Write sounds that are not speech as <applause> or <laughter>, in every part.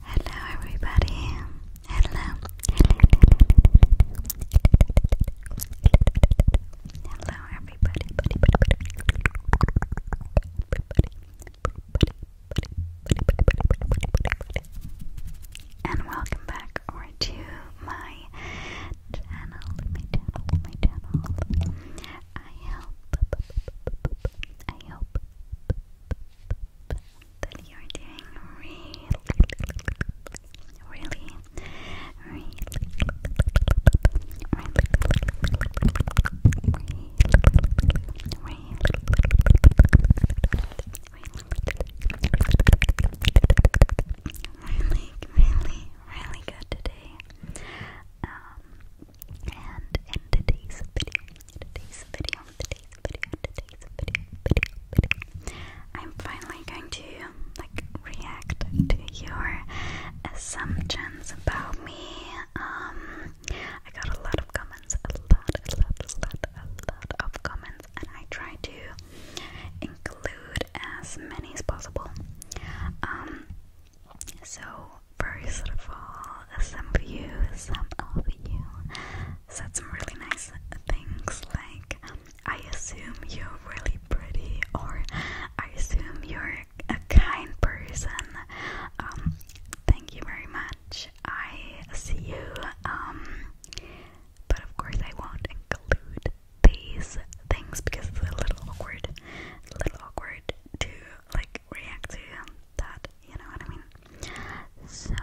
Hello, everybody. Hello. Hello, everybody. Buddy, buddy, buddy. Everybody and welcome back to my channel, my channel, my channel. I hope, I hope that you're doing really, really, really, really, really, really, really, really, really good today. Um, and today's video, today's video, today's video, today's video, video, video, I'm finally going to like react to your assumptions about me. Um, I got a lot of comments, a lot, a lot, a lot, a lot of comments, and I try to include as many as possible. Um, so, first of all, some of you, some of you said some really nice things like, I assume you're really pretty, or I assume you're a kind person. Um, thank you very much. I see you. Um, but of course, I won't include these things because it's a little awkward, a little awkward to like react to that. You know what I mean? So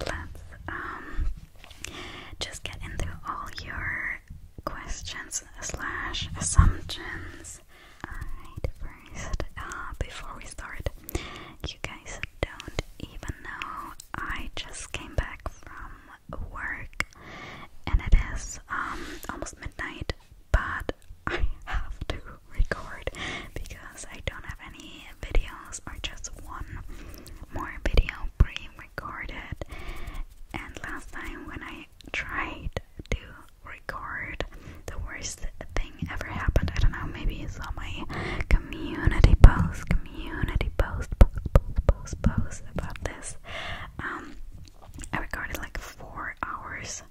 let's um just get into all your questions slash assumptions. first, uh, before we start, you guys don't even know. I just came back from work and it is um, almost midnight, but I have to record because I don't have any videos or just one more video pre-recorded. And last time when I tried to record, the worst thing ever happened. I don't know, maybe it's saw my community post, community post, post, post, post, post about this. Um, I recorded like four hours,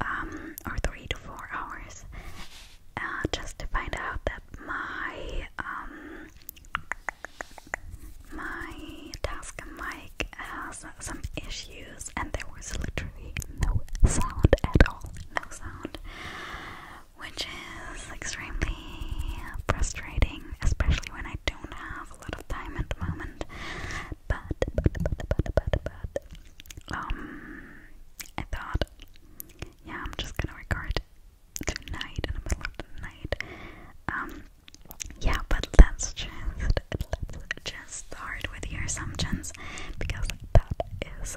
um, or three to four hours, uh, just to find out that my, um, my task mic has some issues, and there was literally no sound at all. No sound which is extremely frustrating, especially when I don't have a lot of time at the moment. But, um, I thought, yeah, I'm just gonna record tonight in the middle of the night. Um, yeah, but let's just let's just start with your assumptions because that is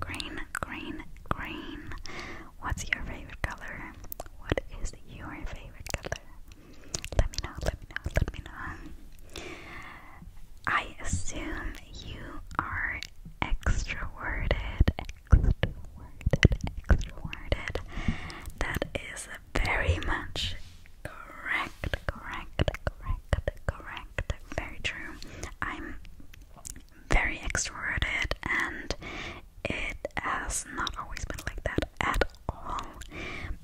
green, green, green. What's your favorite color? What is your favorite color? Let me know, let me know, let me know. I assume you are extroverted, extroverted, extroverted. That is very much correct, correct, correct, correct. Very true. I'm very extroverted, and it has not always been like that at all.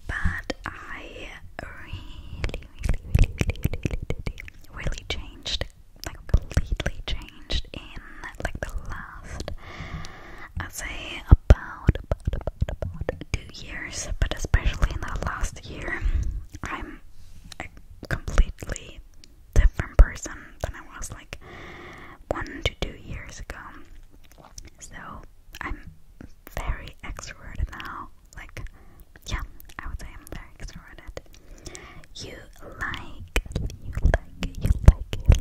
But I really, really, really, really, really, really changed, like completely changed in like the last, i say about about about about two years, but especially in the last year, I'm completely different person than I was like one to two years ago. So I'm very extroverted now. Like, yeah, I would say I'm very extroverted. You like, you like, you like, you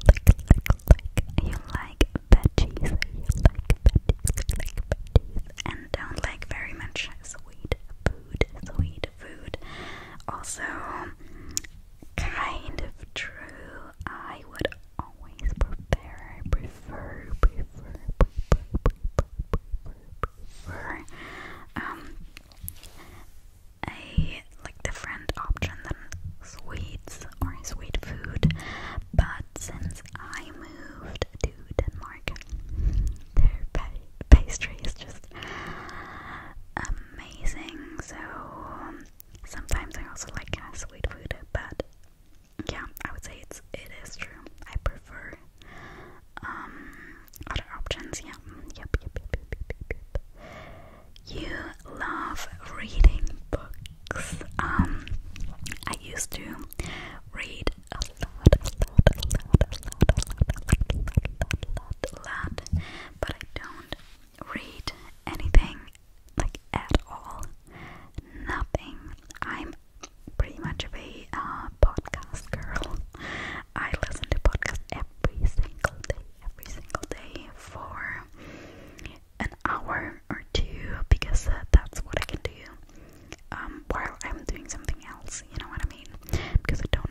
like, you like, you like, you like veggies, you like veggies, you like veggies, and don't like very much sweet food, sweet food. Also, kind of true. I would always prefer, prefer, prefer, um, a like different option than sweets or sweet food. But since I moved to Denmark, their Pastries just amazing. So sometimes I also like sweet food, but yeah, I would say it's it is true. I prefer um other options. Yeah, yep, yep, yep, yep, yep, yep. You love reading books. Um, I used to read a lot, a lot, a lot, a lot, a lot, a lot, a lot, a lot, a lot, a lot out but I don't read anything like at all. Nothing. I'm pretty much a uh, podcast girl. I listen to podcasts every single day, every single day for an hour or two because uh, that's what I can do um, while I'm doing something else. You know what I mean? Because I don't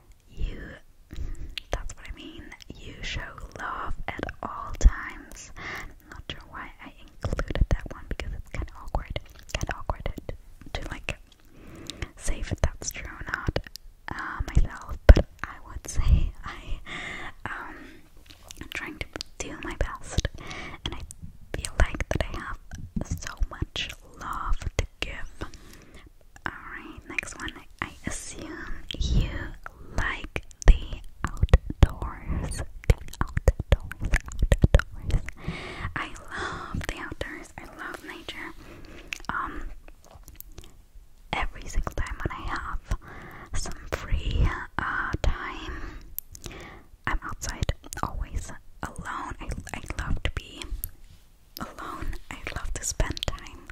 you that's what I mean. You show love at all times. not sure why I included that one because it's kinda awkward. Kinda awkward to, like say that's true or not, uh, myself, but I would say I am um, trying to do my best and I feel like that I have so much love Alright, next one. I assume you like the outdoors. The outdoors, outdoors. I love the outdoors. I love nature. Um, every single time when I have some free uh, time, I'm outside always alone. I, I love to be alone. I love to spend time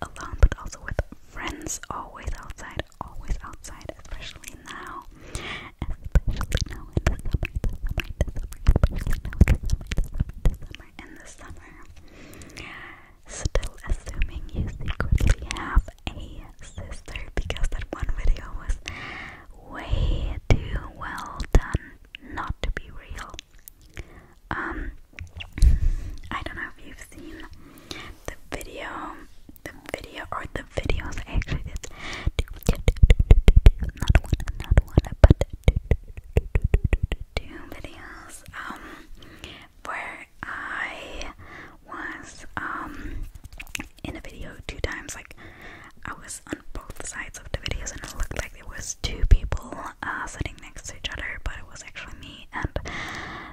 alone, but also with friends. Always outside, always outside, especially now. in the summer, the the summer, in the summer, in the summer. Still assuming you secretly have a sister because that one video was way too well done not to be real. Um, I don't know if you've seen the video, the video or the videos. actually did one, not one, but two videos. Um, where I was um in a video two times, like I was on both sides of the videos, and it looked like there was two people uh, sitting next to each other, but it was actually me, and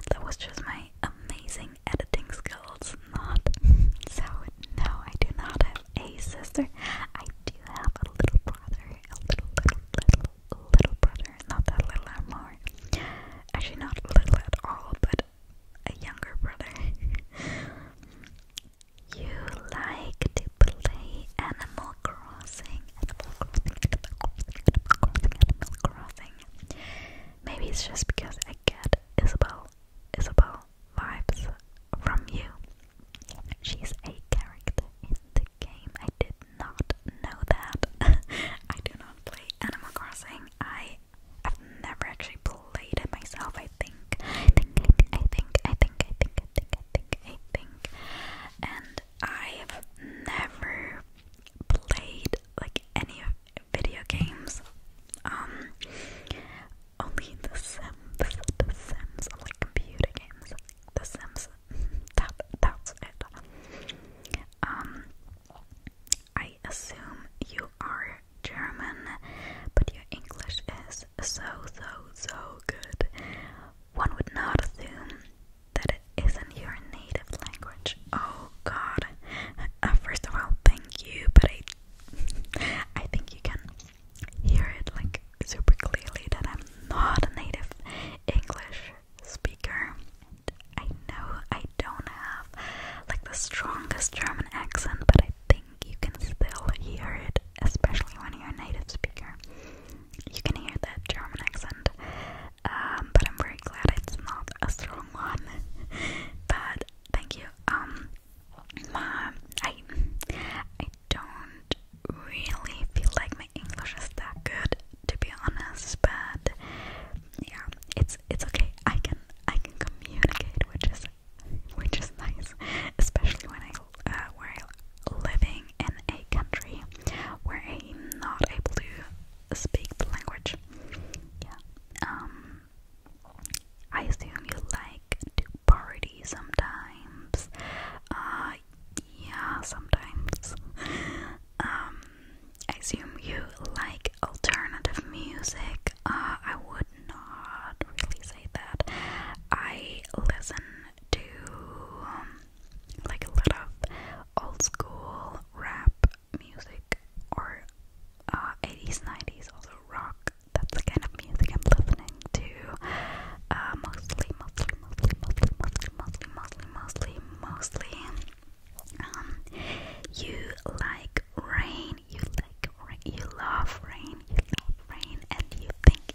that was just my amazing editing skills. Not <laughs> so. No, I do not have a sister. I do have a little brother, a little, little, little, little brother. Not that little anymore. Actually, not little at all, but a younger brother. <laughs> You like to play Animal Crossing, Maybe it's just because I get Isabel, Isabel vibes from you. She's a character in the game. I did not know that. <laughs> I do not play Animal Crossing. I have never actually played it myself. I think, I think, I think, I think, I think, I think, think, I think. And I have never played like any video games. Um, only The Sims, The Sims, like computer games. The Sims. That that's it. Um, I assume you are German, but your English is so so so good. One would not assume that it isn't your native language. Oh God! Uh, first of all, thank you, but I, <laughs> I think you can hear it like super clearly that I'm not a native English speaker. I know I don't have like the strongest German accent, but I think you can still hear it, especially when you're a native speaker. You can hear that German accent, um, but I'm very glad it's not a strong one. <laughs> but thank you. Um, I, I don't really feel like my English is that good, to be honest. But yeah, it's it's okay. I can I can communicate, which is which is nice, <laughs> especially when I uh, we're living in a country where I'm not able to speak the language. Yeah. Um, I assume you like to party sometimes. Uh, yeah, sometimes. <laughs> Um, I assume you like alternative music. Uh, I would not really say that. I listen to um, like a lot of old school rap music or uh, 80s, 90s, also rock. That's the kind of music I'm listening to. Uh, mostly, mostly, mostly, mostly, mostly, mostly, mostly, mostly, mostly. Um, you like rain. You like rain. You love rain. You love rain, and you think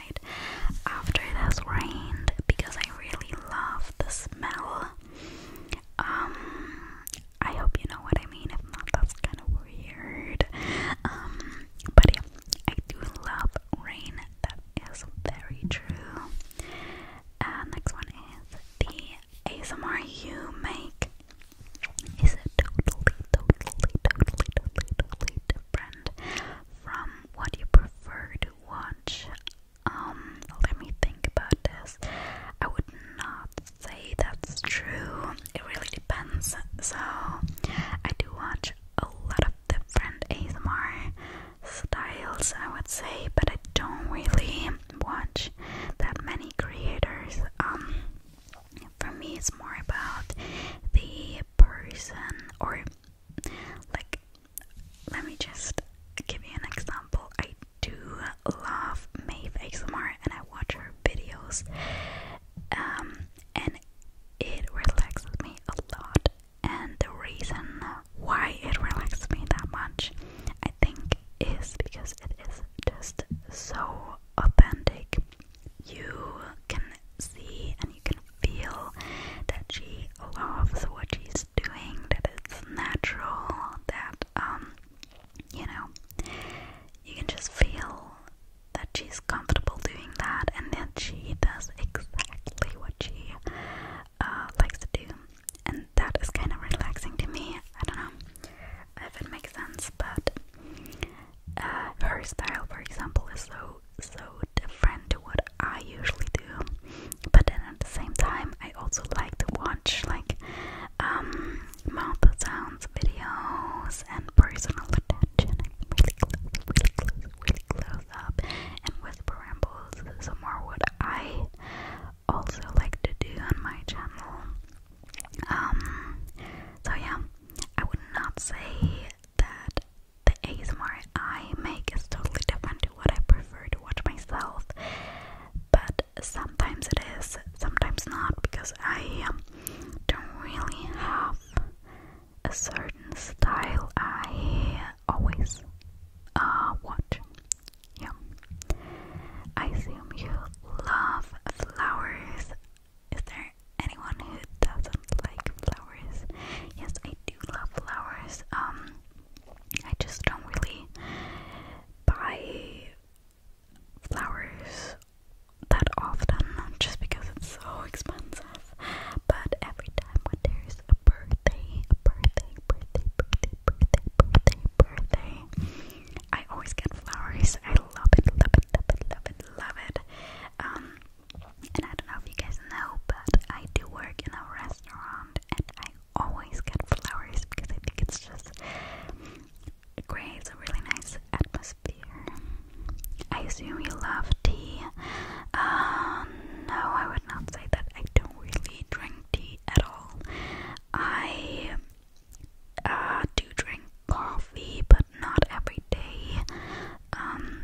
after it has rained because I really love the smell. Um, I hope you know what I mean. If not, that's kind of weird. Um, but yeah, I do love rain. That is very true. Uh, next one is the ASMR you make is totally, totally, totally, totally, totally different from what you prefer to watch um, let me think about this. I would not say that's true. It really depends. So, I do watch a lot of different ASMR styles, I would say, but I don't really watch that many creators. Um, for me, it's more about the person or like let me just give you an example. I do love Maeve ASMR and I watch her videos, um, and it relaxes me a lot. And the reason why it relaxes me that much, I think, is because it is just so authentic. You can see and you can feel that she loves what she's is doing, that it's natural, that um you know you can just feel that she's comfortable doing that and that she does exactly what she uh, likes to do and that is kind of relaxing to me. I don't know if it makes sense, but uh, her style, for example, is so so different to what I usually do. But then at the same time, I also like to watch like um, mouth sounds videos and personal attention, and whisper rambles. So more what I also like to do on my channel. Um, so yeah, I would not say that the ASMR I make is totally different to what I prefer to watch myself. But sometimes it is, sometimes not, because I um, don't really have a certain style I always uh, watch. Yeah. I assume you love flowers. Is there anyone who doesn't like flowers? Yes, I do love flowers. Um, I just don't really buy flowers that often just because it's so expensive. But every time when there's a birthday, birthday, birthday, birthday, birthday, birthday, birthday, I always get flowers. I love it, love it, love it, love it, love it. Um, and I don't know if you guys know, but I do work in a restaurant and I always get flowers because I think it's just it creates a really nice atmosphere. I assume you love tea. Um, no, I would not say that. I don't really drink tea at all. I uh, do drink coffee, but not every day. Um,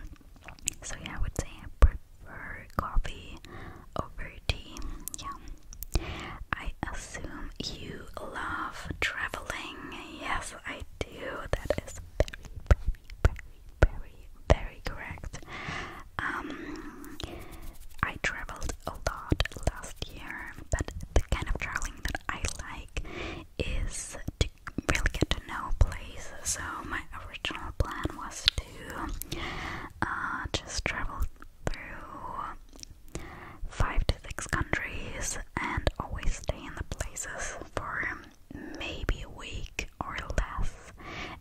so yeah, I would say I prefer coffee over tea. Yeah. I assume you love traveling. Yes, I do. That is very, very, very, very, very correct. Um, I traveled a lot last year, but the kind of traveling that I like is to really get to know places. So my original plan was to to uh, just travel through five to six countries and always stay in the places for maybe a week or less,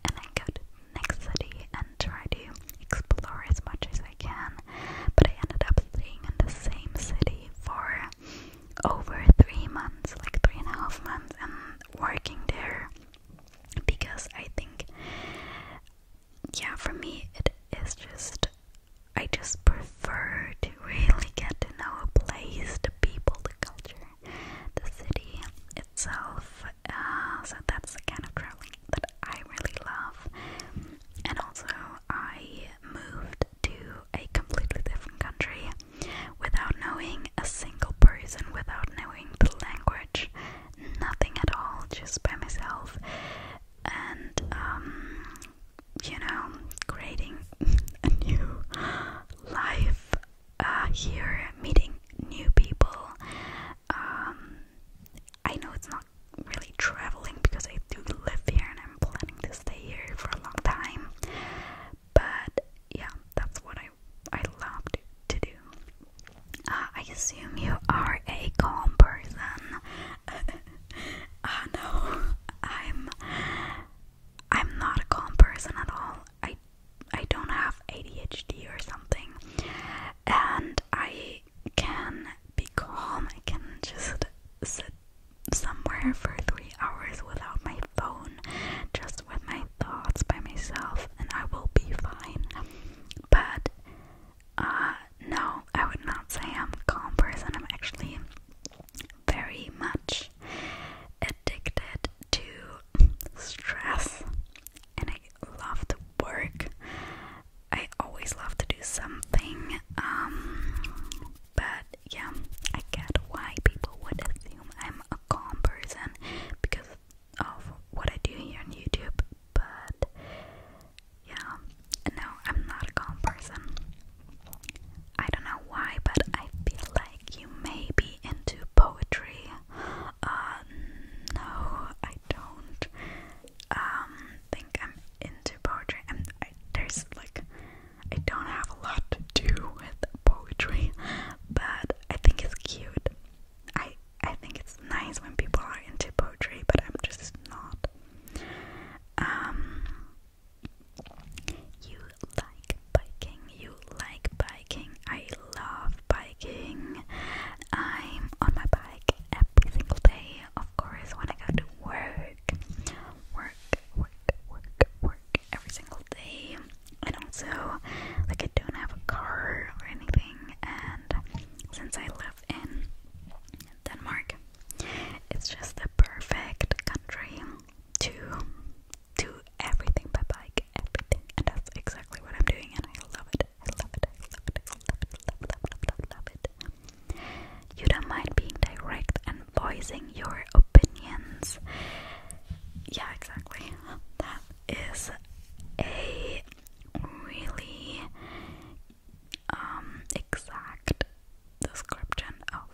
and then go to the next city and try to explore as much as I can. But I ended up staying in the same city for over three months, like three and a half months, and working there because I think, yeah, for me, it is just, I just prefer to really get to know a place, the people, the culture, the city itself. Uh, so that's the kind of crawling that I really love. And also, I moved to a completely different country without knowing a single person without knowing the language, nothing at all, just by myself, and um, you know, creating <laughs> a new life uh, here, meeting new people. Um, I know it's not really traveling because I do live here and I'm planning to stay here for a long time, but yeah, that's what I I I to do. Uh, I assume you are a calm person. <laughs> Uh, no, I'm I'm not a calm person at all. I I don't have ADHD or something, and I can be calm. I can just sit somewhere for three hours without my phone, just with my thoughts by myself and I will be fine. But uh, no, I would not say I'm calm person. I'm actually very much addicted to stress and I love to work. I always love to do something. Um, but yeah, I get why people would assume I'm a calm person because of what I do here on YouTube, but yeah, no, I'm not a calm person. I don't know why, but I feel like you may be into poetry. Uh, no, I don't um, think I'm into poetry. i there's like, I don't have a lot to do with poetry, but I think it's cute. I I think it's nice when people are into poetry, but I'm just not. Um, you like biking. You like biking. I love biking. I'm on my bike every single day. Of course, when I go to work, work, work, work, work every single day and also like I don't have a car or anything and since I live in Denmark it's just the perfect country to do everything by bike, everything and that's exactly what I'm doing and I love it. I love it, I love it, I love it, I love, love, love, love it. You don't mind being direct and voicing your opinions. Yeah, exactly. That is a really um, exact description of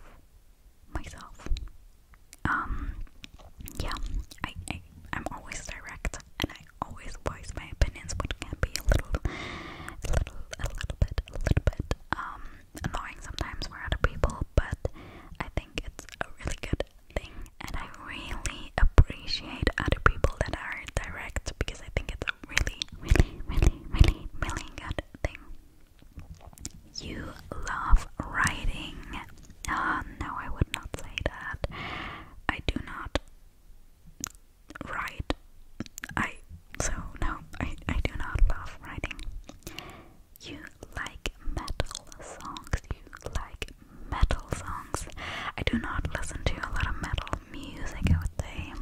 myself. Um, yeah, I, I I'm always direct and I always voice my opinions, which can be a little, little, a little bit, a little bit um annoying sometimes for other people, but I think it's a really good thing, and I really appreciate other people that are direct because I think it's really, really, really, really, really good thing. You love writing. Uh, no, I would not say that. I do not write. I so no, I, I do not love writing. You like metal songs, you like metal songs. I do not listen to a lot of metal music, I would say,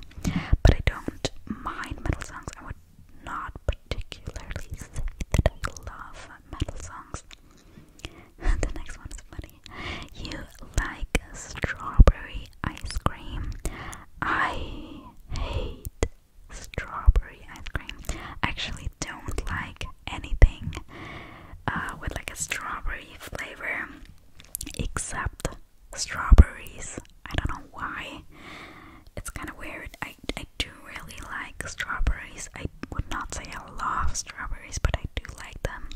but I don't mind metal songs. I would not particularly say that I love metal songs. <laughs> the next one is funny. You like strawberry ice cream. I hate strawberry ice cream. I actually don't like anything uh, with like a strawberry flavor except strawberries. I don't know why. It's kind of weird. I, I do really like strawberries. I would not say I love strawberries, but I do like them.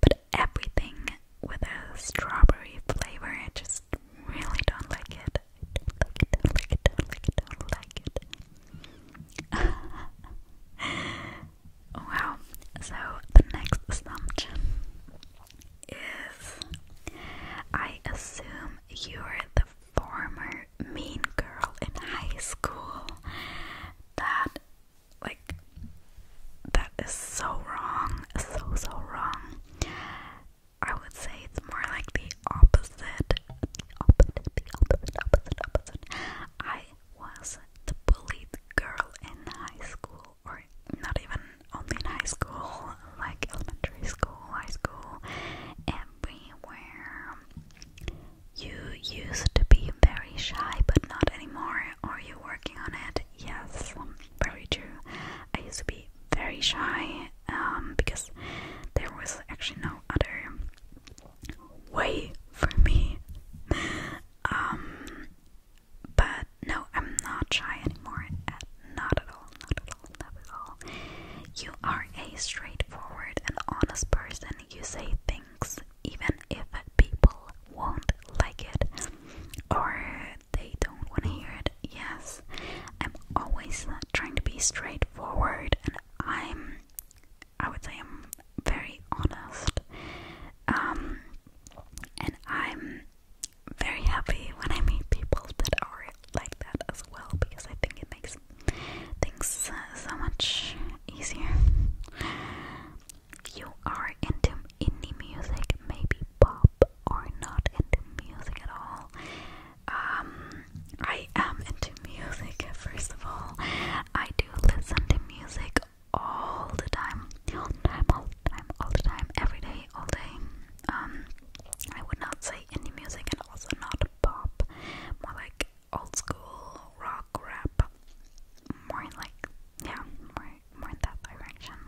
But everything with a strawberry flavor, I just really don't like it. I don't like it, don't like it, do don't like it. <laughs> Wow. So the next assumption is I assume you were the former mean girl in high school. That like that is so wrong. So so wrong. I would say it's more like the opposite. The opposite, the opposite, opposite, opposite. I was the bullied girl in high school, or not even only in high school, like elementary school, high school, everywhere. You used to be very shy, but not anymore. Are you working on it? Yes, very true. I used to be very shy um, because there was actually no other Wait for me. Um, but no, I'm not shy anymore. not at all. Not at all. Not at all. You are a straightforward and honest person. You say things even if people won't like it or they don't want to hear it. Yes, I'm always trying to be straightforward, and I'm I would say I'm very honest. Um, and I'm very happy when I meet people that are like that as well because I think it makes things so much easier. You are into indie music, maybe pop, or not into music at all. Um, I am into music, first of all. I do listen to music all the time. All the time, all the time, every day, all day. Um I would not say indie music and also not pop. More like old school rock rap. More like yeah, more more in that direction.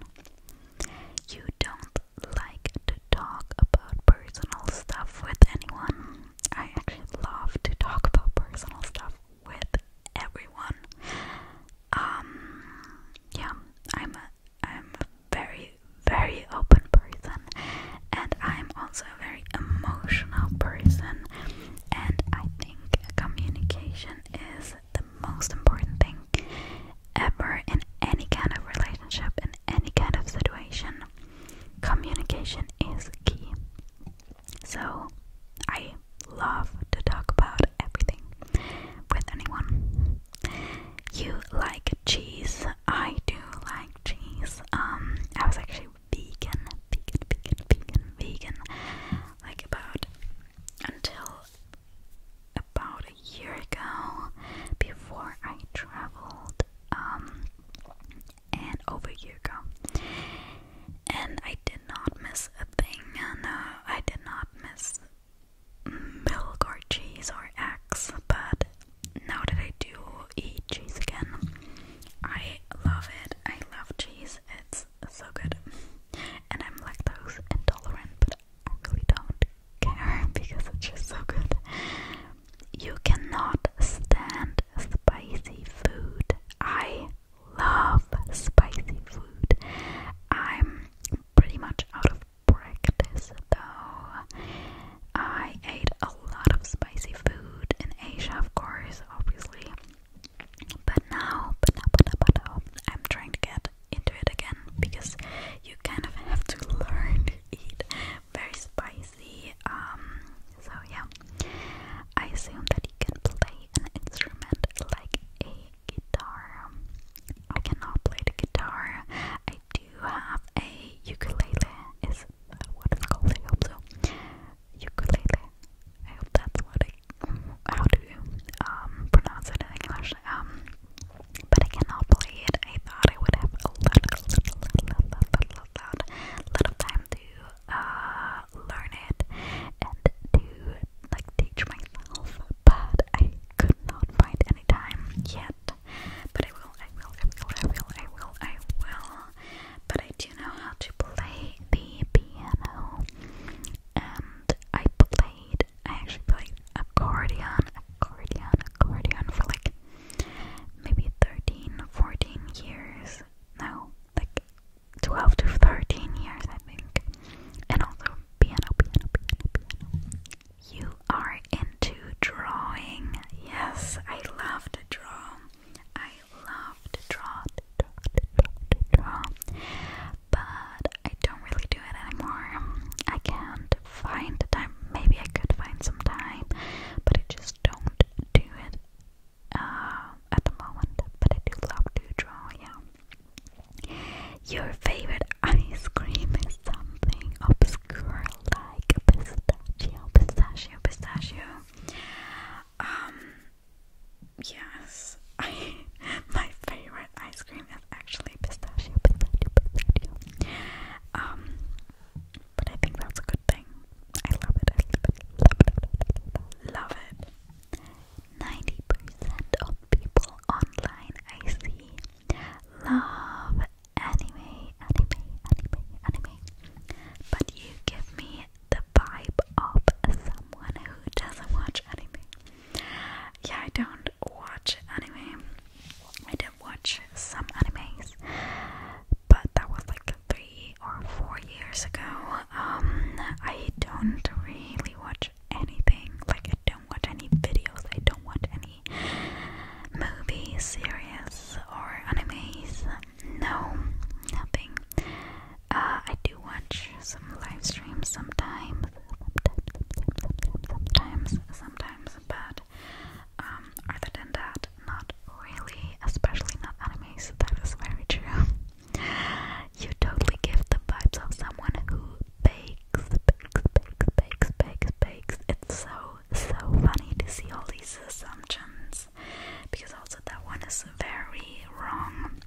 You don't like to talk about personal stuff with anyone. I actually love to talk about personal stuff with everyone. Um, yeah, I'm a, I'm a very very open person, and I'm also a very emotional person, and I think communication is the most important thing ever in any kind of relationship, in any kind of situation. Communication is key. So I love to talk about everything with anyone. You like cheese? I do like cheese. Um, I was actually vegan, vegan, vegan, vegan, vegan, like about until about a year ago before I traveled. Um, and over a year ago. And I did not miss a thing. No, uh, I did not miss milk or cheese or eggs, but now that I do eat cheese again, I love it. I love cheese. It's so good. And I'm lactose intolerant, but I really don't care <laughs> because it's just so good. You cannot stand spicy food. I love spicy food. I'm pretty much out of practice though. I ate a lot of spicy food in Asia, of course, obviously. But now, but now, but now, but now, I'm trying to get into it again because you kind of have to <laughs> learn to eat very spicy um, so yeah, I assume that he can play an instrument like a guitar. I cannot play the guitar. I do have a ukulele. Is what it's called? I hope so. Ukulele. I hope that's what I how do you um, pronounce it in English. Um, but I cannot play it. I thought I would have a little, a lot, a lot, a lot, time to uh, learn it and to like teach myself, but I could not find any time yet. But I will, I will, I will, I will, I will, I will. But I do know how to play the piano, and I played. I actually played accordion, accordion, accordion for like maybe 13, 14 years. No, like 12 to 13 years, I think. And also piano, piano, piano, piano. You are into drawing. Yes, I love to draw. I love to draw, to draw, draw, draw. But I don't really do it anymore. I can't find time. Maybe I could find some time, but I just don't do it uh, at the moment, but I do love to draw, yeah. Your favorite ice cream is something obscure like pistachio, pistachio, pistachio. Um, yes, <laughs> I, my favorite ice cream is actually pistachio, pistachio, pistachio. Um, but I think that's a good thing. I love it. I love it. Love it. Love it. 90% of people online I see love anime, anime, anime, anime. But you give me the vibe of someone who doesn't watch anime. Yeah, I don't watch anime. I did watch some animes, but that was like three or four years ago. Um, I don't really watch anything. Like, I don't watch any videos. I don't watch any movies, series, or animes. No, nothing. Uh, I do watch some live streams sometimes, sometimes, sometimes, but um, other than that, not really, especially not animes. That is very true. You totally give the vibes of someone who bakes, bakes, bakes, bakes, bakes, bakes. It's so, so funny to see all these assumptions because also that one is very wrong.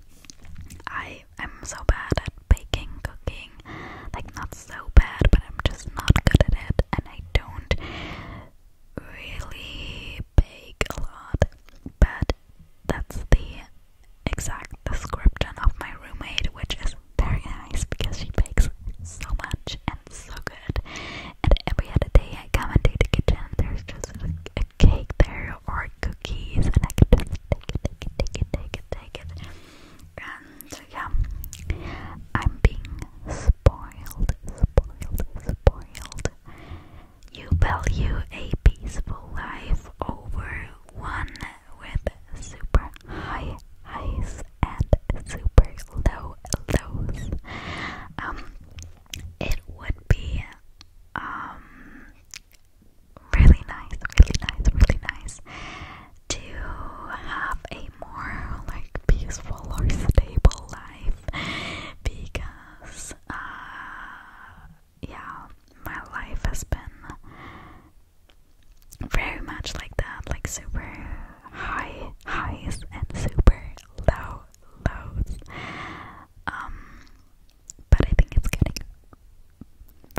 I am so bad at baking, cooking, like not so bad, but I'm just not good at it, and I don't really bake a lot. But that's the exact description of my roommate, which is very nice because she bakes so much and so good. And every other day I come into the kitchen and there's just like a cake there or cookies and I can just take it, take it, take it, take it, take it. And yeah, I'm being spoiled, spoiled, spoiled. You value a peaceful life over one with super high highs and super low lows. Um, it would be um really nice, really nice, really nice to have a more like peaceful or stable life because because uh, yeah, my life has been very much like that, like super high highs and super low lows. Um, but I think it's getting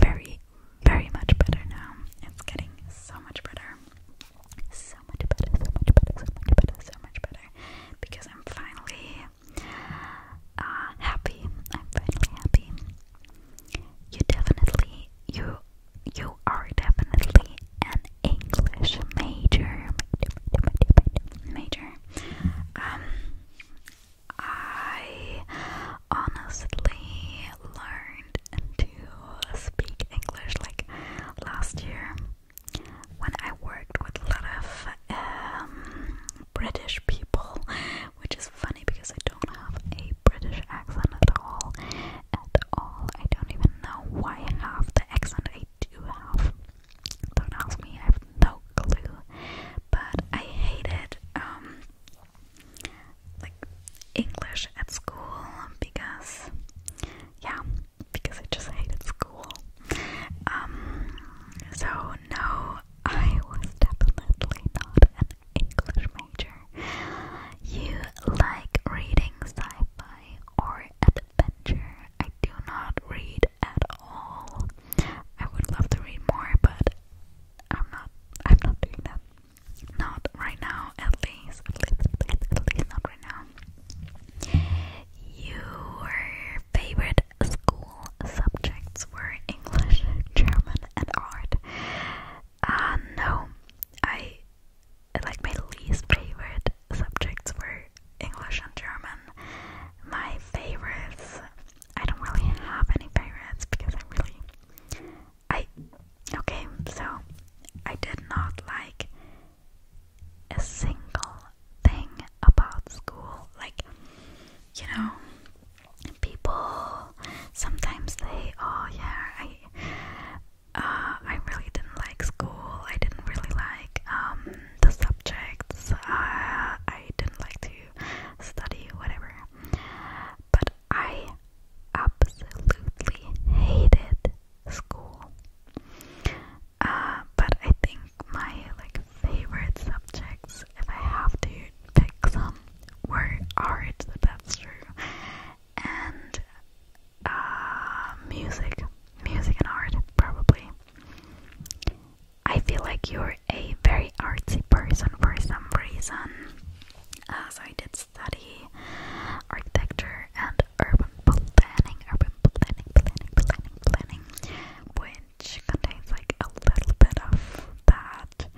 very, very much better now. It's getting so much better. So much better, so much better, so much better, so much better. Because I'm finally uh, happy. I'm finally happy. You definitely, you, you are definitely an English major, major. Um, I honestly learned to speak English like last year when I worked with a lot of um, British people, which is funny because I don't have a British accent at all. At all, I don't even know why I have the accent I do have. Don't ask me; I have no clue. But I hated um, like English at school because, yeah, because I just hated school. Um, so no, I was definitely not an English major. You like reading sci fi or adventure? I do not read at all. I would love to read more, but I'm not. I'm not doing that. Not right now, at least. At least, at least not right now. Your favorite school subjects were English, German, and art. Uh, no, I like my least favorite subjects were English and German. My favorites, I don't really have any favorites because I really, I okay, so I did not like a single thing about school. Like, you know, people sometimes they, oh yeah, I, uh, I really didn't like school. I didn't really like um the subjects. Uh, I didn't like to study, whatever. But I absolutely hated school. Uh, but I think my like favorite subjects, if I have to pick some, were art. That's true, and uh, music, music and art probably. I feel like you're a very artsy person for some reason. As uh, I did study architecture and urban planning, urban planning, planning, planning, planning, which contains like a little bit of that.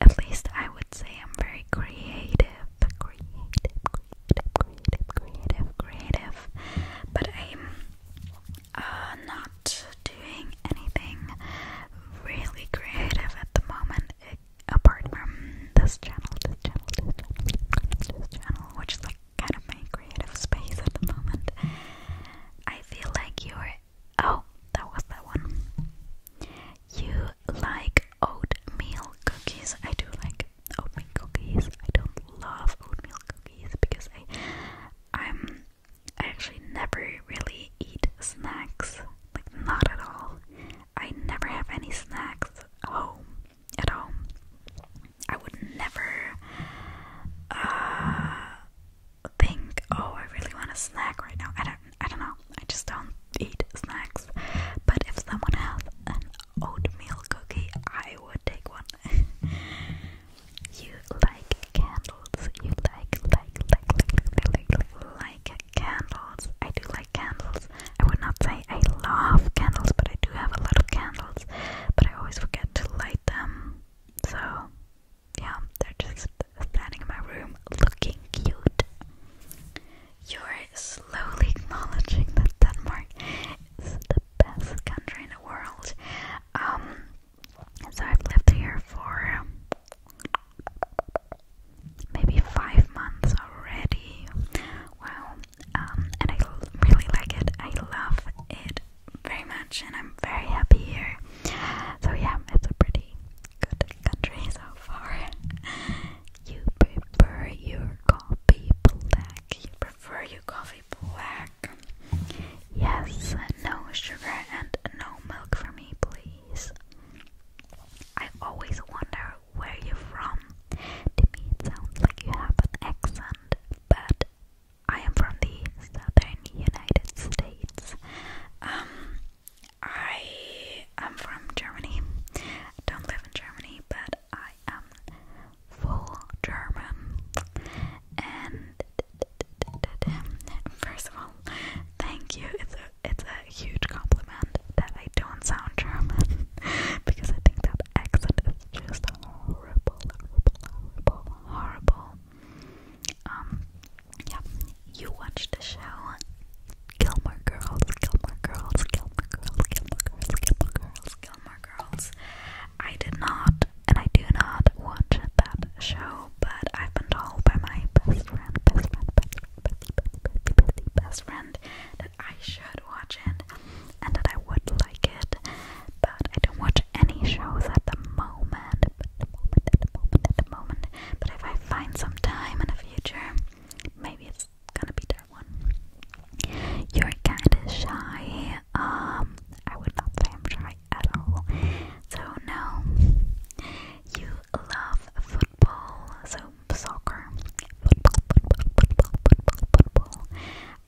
At least I would say I'm very creative, creative, creative, creative, creative, But I'm uh, not doing anything really creative at the moment, eh, apart from this channel, this channel, this channel, this channel, which is like kind of my creative space at the moment. I feel like you're. Oh, that was that one. You like oatmeal cookies. I do like oatmeal cookies. I don't love oatmeal cookies because I, I'm I actually never really eat snacks. Like not at all. I never have any snacks at home. At all. I would never uh, think, oh, I really want a snack right now. I don't, I don't know. I just don't eat snacks. But if someone has an oatmeal cookie, I would take one. <laughs> you like candles? You like, like, like, like, like, like, like candles? I do like candles. I would not say I love candles, but I do have a lot of candles. But I always forget to light them. So, yeah, they're just standing in my room looking cute. You're slowly acknowledging that Denmark is the best country in the world. Um, so I've lived here for um, maybe five months already. Wow, um, and I really like it. I love it very much, and I'm very happy here. So, yeah, it's a pretty good country so far. You prefer your coffee black. You prefer your coffee black. Yes, no sugar and no milk for me, please. I always wonder where you're from. To me, it sounds like you have an accent, but I am from the southern United States. Um, I am from Germany. don't live in Germany, but I am full German. And first of all, thank you. It's a it's a huge compliment that I don't sound German <laughs> because I think that accent is just horrible, horrible, horrible, horrible. Um, yeah, you watched the show Gilmore Girls, Gilmore Girls, Gilmore Girls, Gilmore Girls, Gilmore Girls, Gilmore Girls. I did not, and I do not watch that show, but I've been told by my best friend, best friend, best friend, best friend, best friend, best friend that I should watch it and that I would like it but I don't watch any shows at the moment. But the moment, at the moment, at the moment. But if I find some time in the future, maybe it's gonna be that one. You're kinda shy. Um, I would not say I'm shy at all. So no, you love football, so soccer, football, football, football, football, football.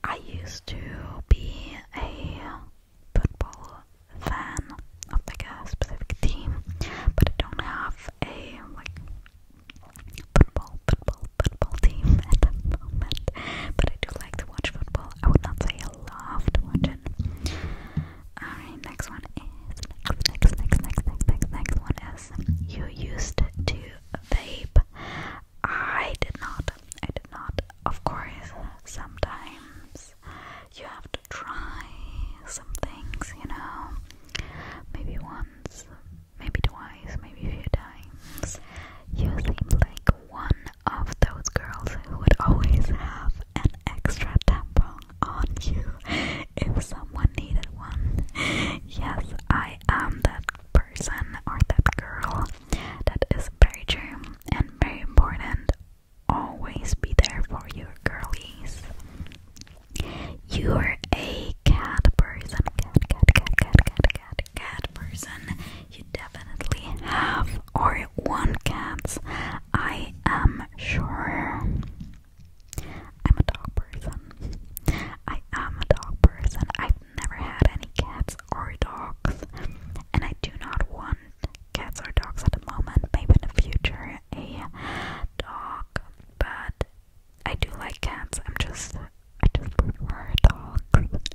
I used to be a football fan of like a specific team, but I don't have a like football, football, football team <laughs> at the moment. But I do like to watch football. I would not say I love to watch Alright, next one is next, next, next, next, next, next one is you used to vape. I did not. I did not of course, sometimes you have to try some things, you know, maybe once, maybe twice, maybe a few times. You seem like one of those girls who would always have an extra tampon on you <laughs> if someone needed one. Yes, I am that person or that girl. That is very true and very important. Always be there for your girlies. You're a cat person. Cat, cat, cat, cat, cat, cat, cat person. You definitely have or want cats. I am sure. I'm a dog person. I am a dog person. I've never had any cats or dogs, and I do not want cats or dogs at the moment, maybe in the future a dog, but I do like cats, I'm just I just prefer dogs.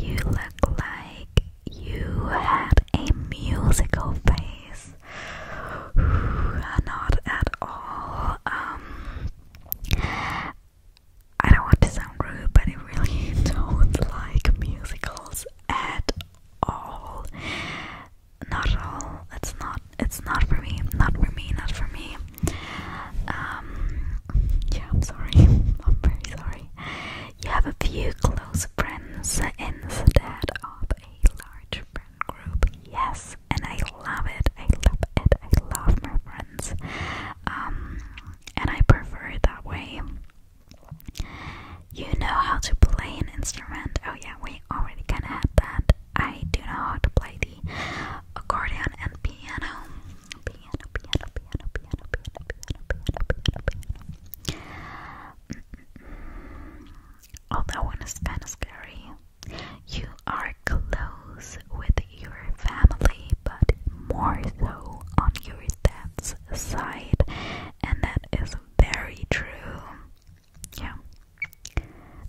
You look like you have a musical face. <sighs> Not at all. Um, I don't want to sound rude, but I really <laughs> don't like musicals at all. Not all. It's not. It's not for me. Not for me. Not for me. Um. Yeah, I'm sorry. <laughs> I'm very sorry. You have a few close friends instead of a large friend group. Yes, and I love it. I love it. I love my friends. Um, and I prefer it that way. You know how to play an instrument. Oh, yeah, we already kind of had that. I do know how to play the accordion and piano. Piano, piano, piano, piano, piano, piano, piano, piano, piano. Mm -mm. Oh, that one is kind of scary. You are close with your family, but more so on your dad's side, and that is very true. Yeah,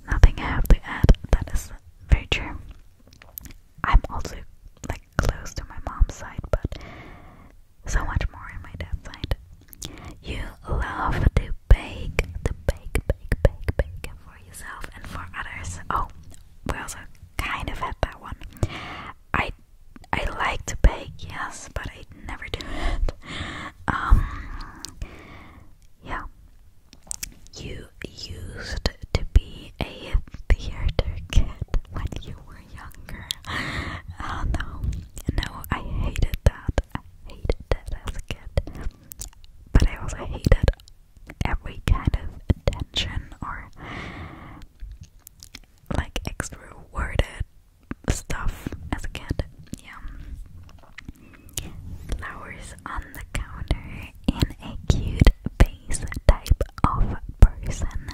nothing I have to add, that is very true. I'm also like close to my mom's side, but so much more on my dad's side. You love to bake, to bake, bake, bake, bake for yourself and for others. Oh, we also kind of had that one. I I like to bake, yes, but I never do it. Um, yeah, you used to be a theater kid when you were younger. no, no, I hated that. I hated that as a kid, but I also hated every kind of attention or like extra worded stuff as a kid. Yeah. Flowers on the counter in a cute face type of person.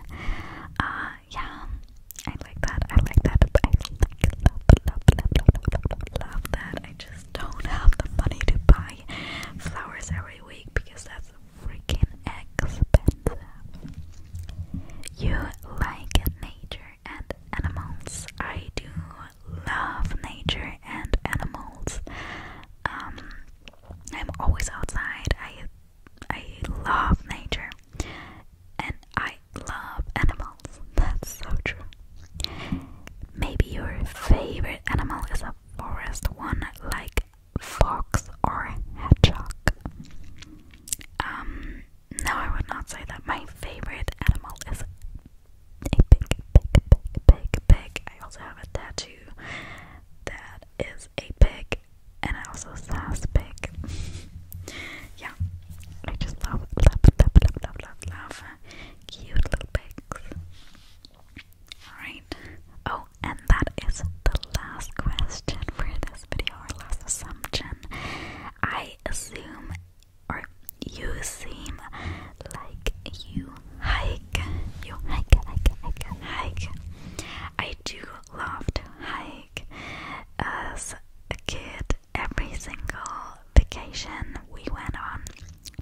Uh yeah. I like that. I like that. I love that. I just don't have the money to buy flowers every week because that's freaking expensive. You like nature and animals. I do love nature and animals. Um, I'm always outside. I I love nature and I love animals. That's so true. Maybe your favorite animal is a forest one like fox or hedgehog. Um, no, I would not say that my favorite animal is a pig, pig, pig, pig, pig. I also have a tattoo that is a pig, and I also says pig. <laughs> yeah, I just love, love, love, love, love, love cute little pigs. Alright. Oh, so, and that is the last question for this video, or last assumption. I assume, or you seem like you hike. You hike, hike, hike, hike. I do love to hike. As a kid, every single vacation we went on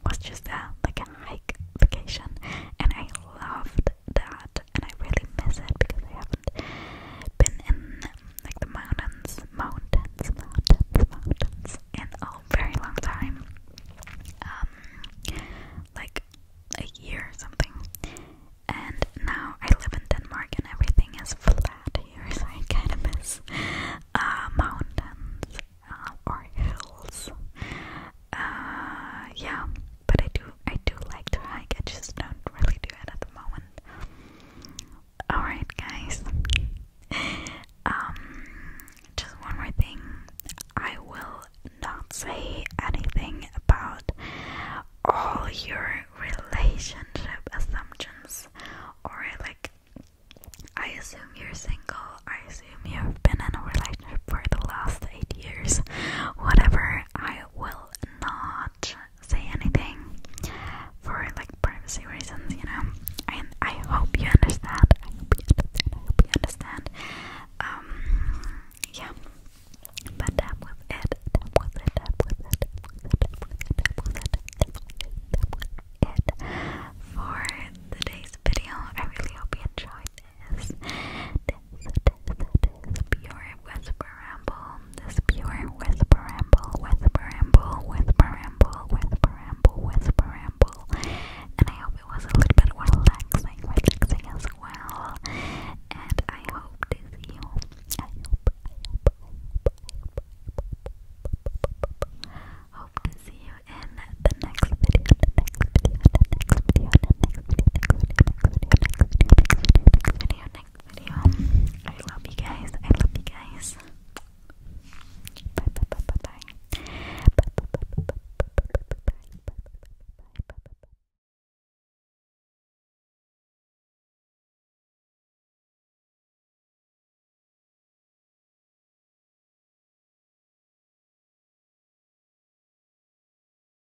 was just a, like a hike vacation, and I loved that, and I really miss it because I haven't been in like the mountains, mountains, mountains, mountains in a very long time. Um, like a year or something. And now I live in Denmark and everything is flat here, so I kind of miss uh, mountains uh, or hills uh, yeah, but I do, I do like to hike. I just don't really do it at the moment. All right, guys. <laughs> um, just one more thing. I will not say anything about all your relationship assumptions or like. I assume you're single. I assume you've been in a relationship for the last eight years. Whatever, I will not say anything for like privacy reasons, you know. I hope you understand. I hope you understand. I hope you understand. Um, yeah. But that was it. That was it. That was it. That was it. That was it. That was it. That was it. That was it. That was it for today's video. I really hope you enjoyed this, this, this, this pure whisper ramble. This pure whisper ramble, whisper ramble, whisper ramble, whisper ramble, whisper ramble. And I hope it was a little bit relaxing, relaxing as well. And I hope to see you. I hope, I hope, I hope, I hope, I hope, hope to see you in the next video, the next video, the next video, the next next video, next video. I love you guys. I love you guys. Bye bye bye bye bye. Bye bye bye bye bye bye bye bye bye bye bye.